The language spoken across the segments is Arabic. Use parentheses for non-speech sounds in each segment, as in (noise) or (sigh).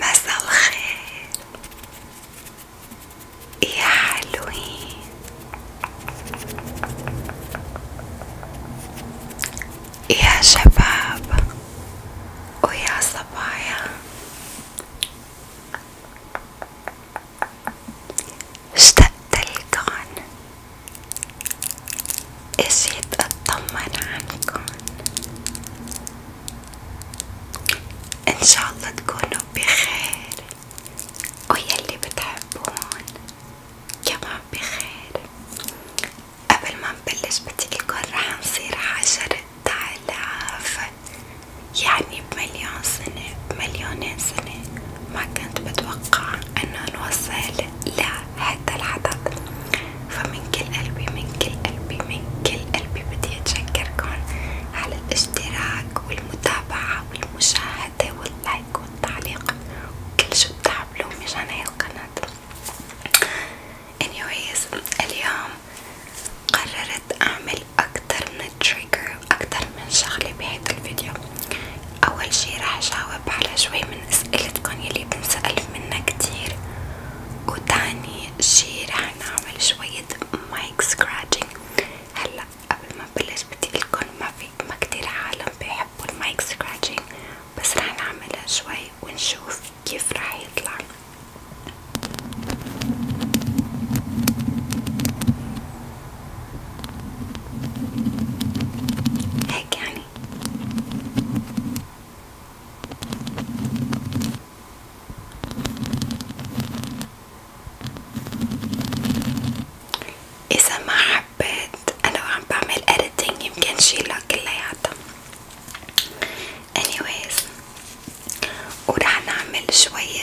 مساء الخير يا حلوين يا شباب ويا صبايا اشتقت لكم اجيت اطمن عنكن ان تكونوا بخير ويلي بتحبون كمان بخير قبل ما نبلش بدي رح نصير عشرة آلاف يعني بمليون سنة بمليونين سنة ما كنت بتوقع أنه نوصل لهذا الحدث فمن كل قلبي من كل قلبي من كل قلبي بدي أتشكركن على الاشتراك والمتابعة والمشاهدة واللايك والتعليق وكل شو بتعملوه مشان هاي القناة anyways اليوم قررت أعمل أكتر من تريجر أكتر من شغلة بهيدا الفيديو أول شي راح جاوب على شوي من أسئلتكن يلي بنسأل منها كتير وتاني شي راح نعمل شوية مايك سكراتشنج هلا قبل ما بلش بدي لكم ما في ما كتير عالم بيحبوا المايك سكراتشنج بس راح نعملها شوي ونشوف كيف راح يطلع هيك يعني اذا ما حبيت انا وعم بعمل editing يمكن شيلها كلياتها anyways ورح نعمل شوية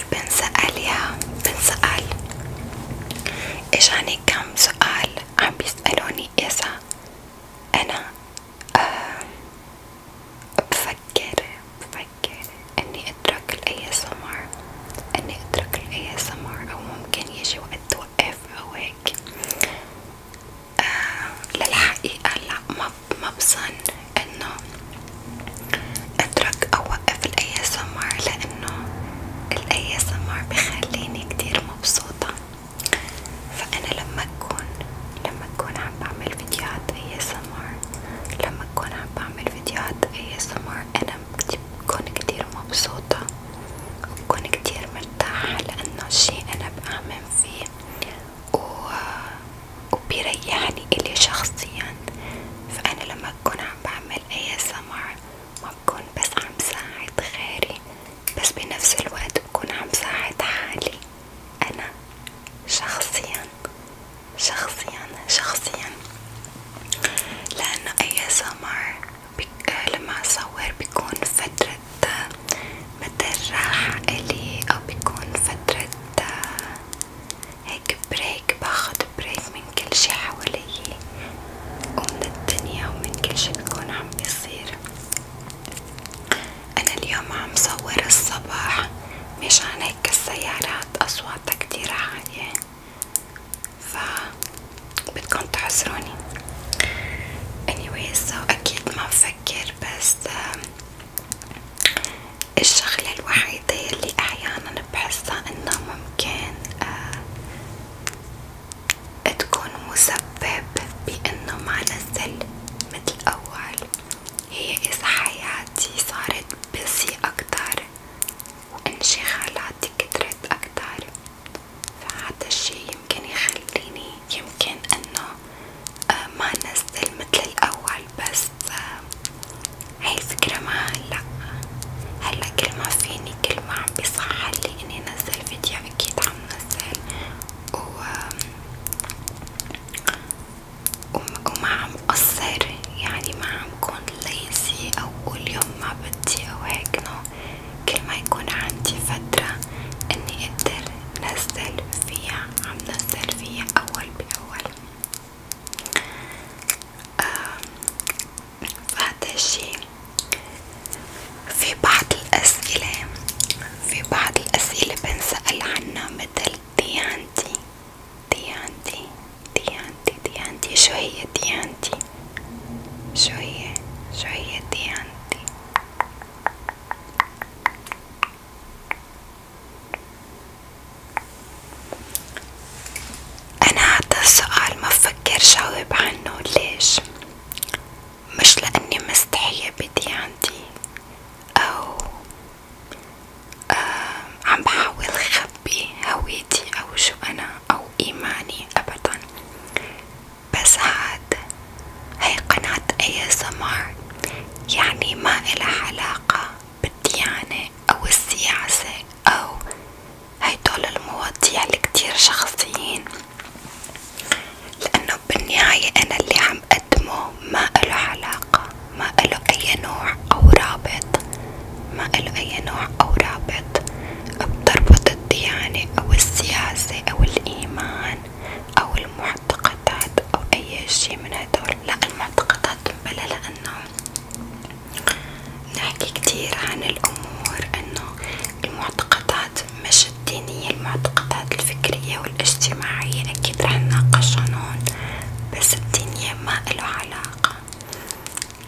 صار بنسأل يا بنسأل اجاني يعني كم سؤال عم بيسألوني اذا انا آه بفكر بفكر اني اترك الاي اس ام ار اني اترك الاي اس ام ار او ممكن يجي وقت توقف او هيك آه للحقيقة لا ما ما بظن انه اترك او وقف الاي اس ام ار لانه الاي اس ام ار بخليني كتير مبسوطة فانا لما اكون لما اكون عم بعمل فيديوهات اي اس ام ار لما اكون عم بعمل فيديوهات اي اس ام ار انا بكون كتير مبسوطة وبكون كتير مرتاحة لانه شي انا بآمن فيه و... وبيريحني الي شخصيا فانا لما ما بكون عم بعمل اي سمر ما بكون بس عم ساعد غيري بس بنفس الوقت بكون عم ساعد حالي انا شخصيا شخصيا شخصيا لانه اي سمر لما اصور بيكون فترة متل راحة الي او بيكون فترة هيك بريك هيك باخد بريك من كل شي حواليي ومن الدنيا ومن كل شي بكون عم بيصير أنا اليوم عم صور الصباح مشان هيك السيارات أصواتها كتير عالية ف بدكن تحصروني anyways so أكيد ما بفكر بس الشغلة الوحيدة اللي أحيانا بحسها إنها ممكن آه تكون مسبب بإنه ما نزل متل أول هي إذا حياتي صارت بسي أكتر وانشغالاتي كترت أكتر فهذا الشي يمكن يخليني يمكن إنه آه ما نزل متل الأول تفاعل طيب، بس هاي فكرة ما هلا هلا كل ما فيني كل ما عم بيصحلي اني انزل فيديو اكيد عم نزل و... وما عم قصر يعني ما عم كون ليزي او كل يوم ما بدي او هيك نو كل ما يكون عندي فترة اني اقدر نزل فيها عم نزل فيها اول باول فهذا الشي في بعض الأسئلة في بعض الأسئلة بنسأل عنها مثل ديانتي ديانتي ديانتي ديانتي شو هي ديانتي شو هي شو هي ديانتي أنا هذا السؤال ما بفكر جاوب عنه ليش؟ مش لأني مستحية بديانتي أو آه، عم بحاول خبي هويتي أو شو أنا أو إيماني أبدا بس هاد هي قناة ASMR يعني ما إلها علاقة بالديانة أو السياسة أو هيدول المواضيع اللي كتير شخصيين لأنه بالنهاية أنا اللي عم قدمه ما إله علاقة ما إله أي نوع أو رابط ما إله أي نوع أو رابط بتربط الديانة أو السياسة أو الإيمان أو المعتقدات أو أي شي من هدول لا المعتقدات بلا لأنه نحكي كتير عن الأمور إنه المعتقدات مش الدينية المعتقدات الفكرية والاجتماعية أكيد رح نناقشهم هون بس الدينية ما إله علاقة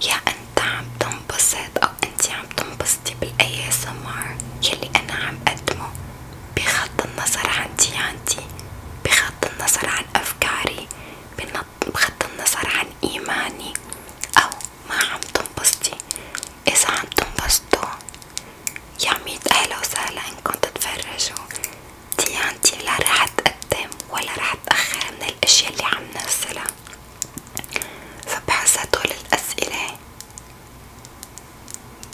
يا أنت عم تنبسط أو أنت عم تنبسطي بالأي سمار يلي أنا عم قدمه بغض النظر عن ديانتي بغض النظر عن أفكاري بغض النظر عن إيماني أو ما عم تنبسطي إذا عم تنبسطوا يا ميت أهلا وسهلا إنكم تتفرجوا ديانتي لا رح أتقدم ولا رح أتأخر من الأشياء اللي عم نزلها فبحس هدول الأسئلة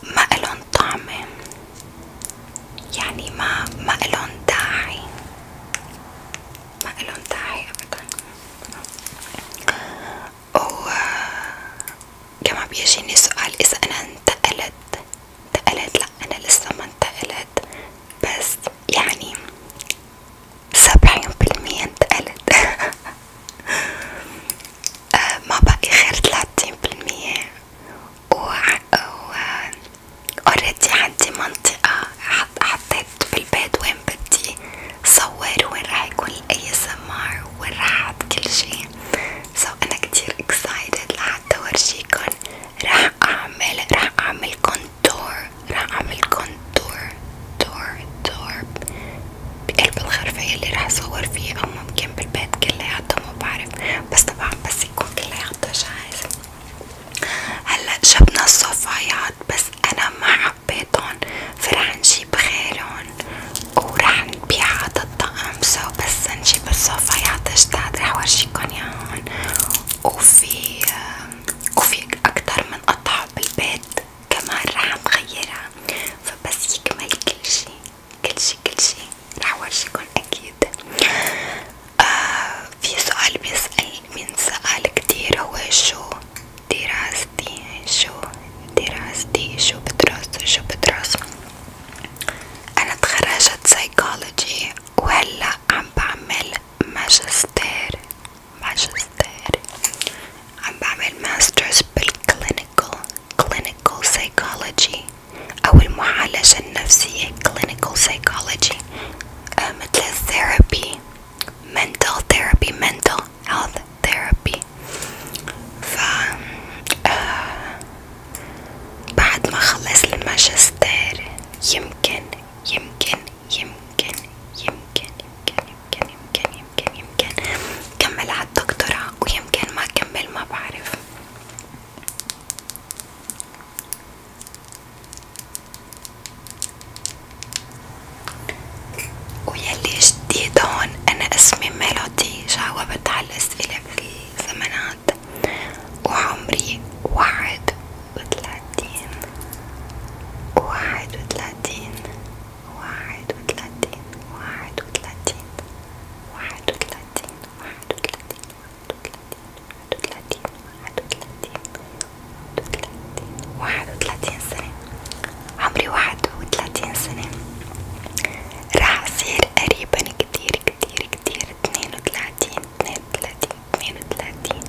ما إلهم طعمة يعني ما ما إلهم داعي ما إلهم داعي أبدا وكمان بيجيني سؤال إذا أنا انتقلت انتقلت لأ أنا لسه ما انتقلت بس يعني سبعين بالمية انتقلت (laughs) آه، ما بقي غير تلاتين بالمية و اوريدي عندي منطقة حطيت في البيت وين بدي صور وين راح يكون الاي سمار وين راح احط كل شي سو so انا كتير اكسايتد لحتى اورجيكن راح اعمل راح اعمل كونتور راح اعمل كونتور دور دور بقلب الغرفة اللي راح اصور فيها او ممكن بالبيت كلياته ما بعرف بس طبعا بس يكون كلياته جاهز هلا جبنا الصفايات بس انا ما حبيتهم فرح نجيب غيرهم ورح نبيع هذا الطقم سو بس نجيب الصفايات جداد رح ورجيكن ياهن وفي وفي اكتر من قطعة بالبيت كمان رح نغيرها فبس يكمل كل شي كل شي كل شي رح ورجيكن اكيد آه في سؤال بيسأل من سأل كتير هو شو دراستي شو دراستي شو بدرس شو بدرس أنا تخرجت سايكولوجي وهلا عم بعمل ماجستير ماجستير عم بعمل ماسترز بالكلينيكال كلينيكال سايكولوجي أو المعالجة النفسية clinical psychology مثل therapy mental therapy mental health therapy ف آه، بعد ما خلص الماجستير يمكن يمكن يمكن يمكن يمكن يمكن يمكن يمكن يمكن كمل على الدكتوراه ويمكن ما كمل ما بعرف ويلي جديد هون انا اسمي ميلودي جاوبت على الاسئلة بالثمانات وعمري واحد وتلاتين واحد وتلاتين واحد وتلاتين واحد وتلاتين واحد وتلاتين واحد وتلاتين واحد وثلاثين سنة عمري واحد وثلاثين سنة راح أصير قريبا كتير كتير كتير اثنين وثلاثين اثنين وثلاثين اثنين وثلاثين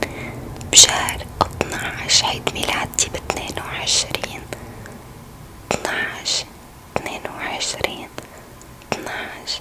بشهر اطناعش عيد ميلادي باثنين وعشرين اطناعش اثنين وعشرين اطناعش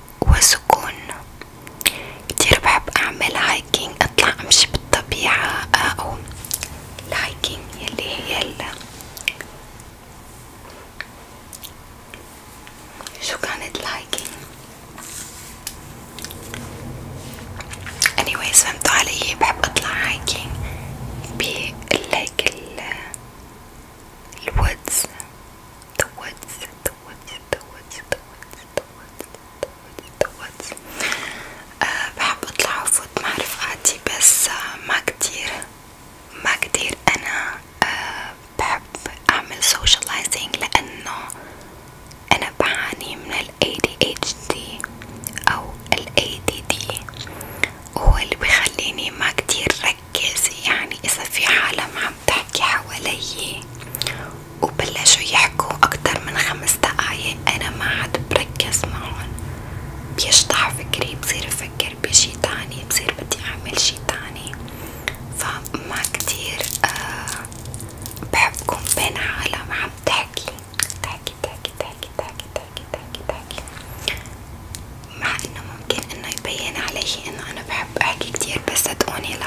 وسكون كتير بحب اعمل هايكينج اطلع امشي بالطبيعة آه، او الهايكينج اللي هي ال شو كانت الهايكينج anyways فهمتوا علي بحب اطلع هايكينج بالليك ال الوودز the woods the woods the woods the woods the woods تفوت أه بحب اطلع وفوت مع رفقاتي بس آه، ما كتير ما كتير انا أه بحب اعمل socializing لانه انا بعاني من ال ADHD او ال ADD وهو اللي بخليني ما كتير ركز يعني اذا في عالم عم عم تحكي حوالي وبلشوا يحكوا أكتر من خمس دقايق أنا ما عاد بركز معهم بيشطح فكري بصير أفكر بشي تاني بصير بدي أعمل شي تاني فما كتير آه بحبكم بين عالم عم تحكي تحكي تحكي تحكي تحكي تحكي تحكي تحكي مع إنه ممكن إنه يبين علي إنه أنا بحب أحكي كتير بس صدقوني لأ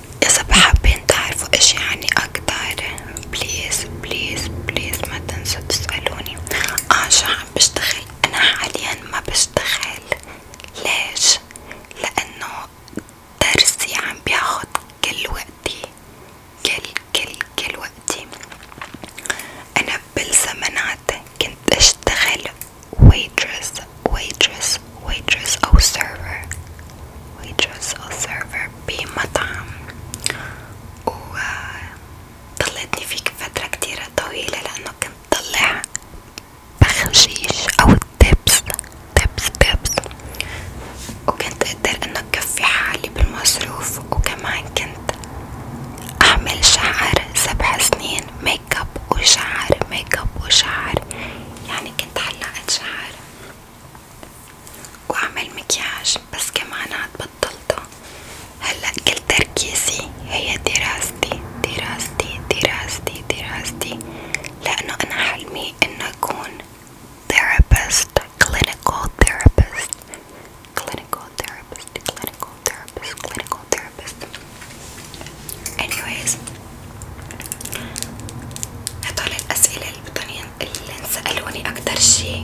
اذا حابين تعرفوا اشي عني اكتر بليز بليز بليز ما تنسوا تسألوني اه شو عم بشتغل انا حاليا ما بشتغل ليش لانه درسي عم بياخد كل وقتي كل كل كل وقتي انا بالزمانات كنت اشتغل waitress waitress waitress او server waitress أو server بمطعم وضلتني آه، فيك فترة كتيرة طويلة لأنه كنت طلع بخشيش أو تبس تبس تبس وكنت أقدر أنه كفي حالي بالمصروف وكمان كنت أعمل شعر سبع سنين ميك اب وشعر ميك اب وشعر يعني كنت حلقة شعر واعمل مكياج بس كمان بطلته هلا كل تركيزي هي دراستي دراستي دراستي دراستي لانه انا حلمي انه اكون therapist clinical therapist clinical therapist clinical therapist clinical therapist anyways هدول الاسئلة اللي بضلني اللي سألوني أكتر شي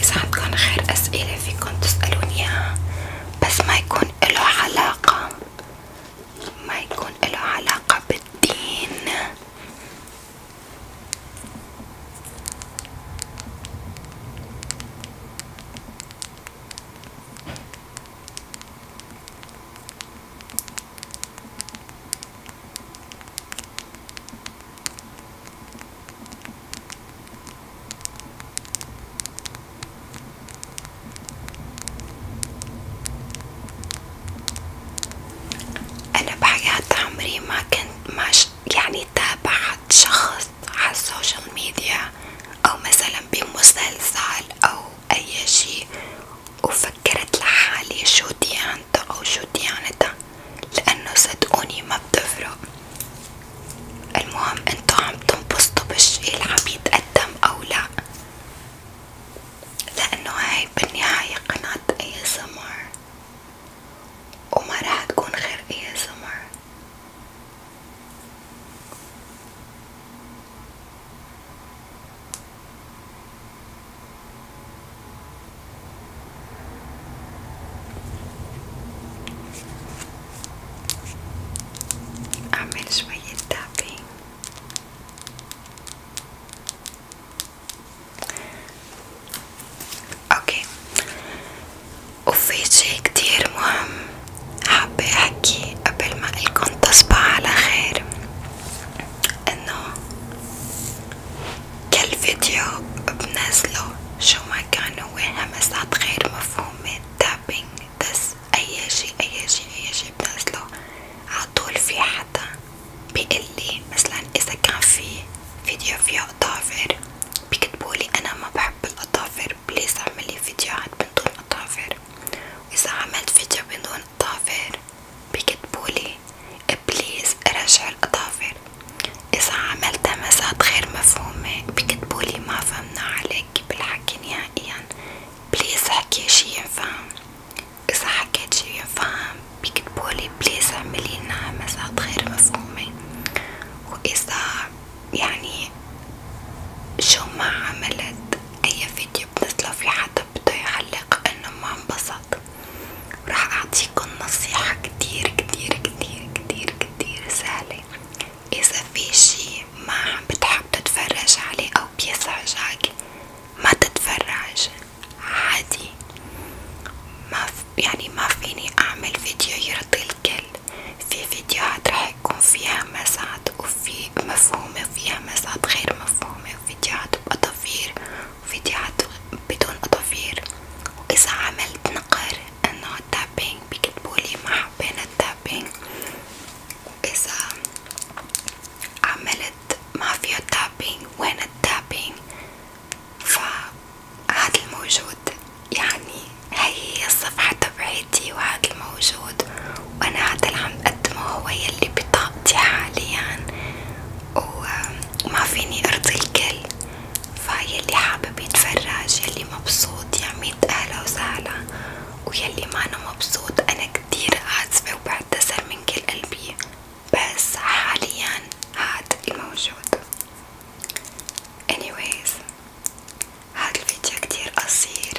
إذا عندكن غير أسئلة فيكن تسألوني إياها بس ما يكون إله علاقة ما يكون إله علاقة بالدين أنا بحياة عمري ما كنت ما يعني تابعت شخص على السوشيال ميديا أو مثلا بمسلسل أو أي شي وفكرت لحالي شو ديانته أو شو ديانتها لأنه صدقوني ما بتفرق المهم انتو عم تنبسطوا بالشي اللي عم يتقدم أو لأ لأنه هاي بالنهاية قناة ASMR وما راح تكون غير ASMR أعمل شوية تابين اوكي وفي شي كتير مهم حابة احكي قبل ما الكم تصبح على خير انه كل فيديو بنزله شو ما كان هو همسات غير مفهومة تابينج بس اي شي اي شي اي شي بنزله عطول في حدا بيقلي مثلا اذا كان في فيديو فيه اظافر بيكتبولي انا ما بحب الاظافر بليز اعملي فيديوهات بدون اظافر واذا عملت فيديو بدون الأظافر بيكتبولي بليز رجع الأظافر إذا عملت مسات غير مفهومة بيكتبولي ما فهمنا عليك بالحكي نهائيا بليز حكي شي ينفهم إذا حكيت شي ينفهم بيكتبولي بليز اعملي لنا غير مفهومة وإذا يعني شو ما عملت أي فيديو بنزله في حد بده يعلق انه ما انبسط راح اعطيكم نصيحة كتير كتير كتير كتير كتير سهلة اذا في شي ما بتحب تتفرج عليه او بيزعجك ما تتفرج عادي ما يعني ما فيني اعمل فيديو يرضي الكل في فيديوهات رح يكون فيها مسات وفي مفهومة وفيها مسات غير مفهومة وفيديوهات بأطافير وفيديوهات بدون أطافير وإذا عملت نقر إنه تابينج بيكتبولي ما حابين التابينج وإذا عملت ما فيه تابينج وين التابينج فهاد الموجود يعني هي هي الصفحة تبعتي وهاد الموجود وأنا هذا اللي عم أقدمه هو يلي بطاقتي حاليا وما فيني أرضي الكل فيلي حابب يتفرج يلي مبسوط يعميد أهلا وسهلا ويلي مانو مبسوط أنا كتير آسفة وبعتذر من كل قلبي بس حاليا هاد الموجود anyways هاد الفيديو كتير قصير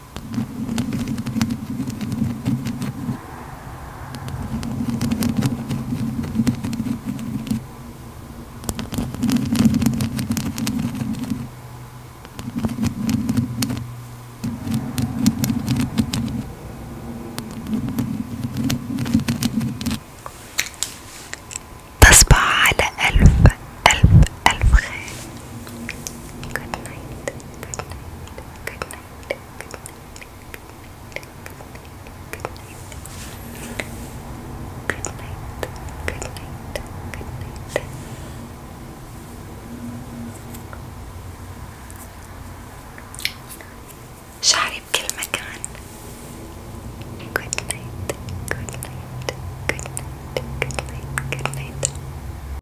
تصبح على ألف ألف ألف خير Good night, good night Good night. Good night. Good night. Good night. Good night. Good night. Good night. شعري بكل مكان. Good night. Good night. Good night. Good night. Good night.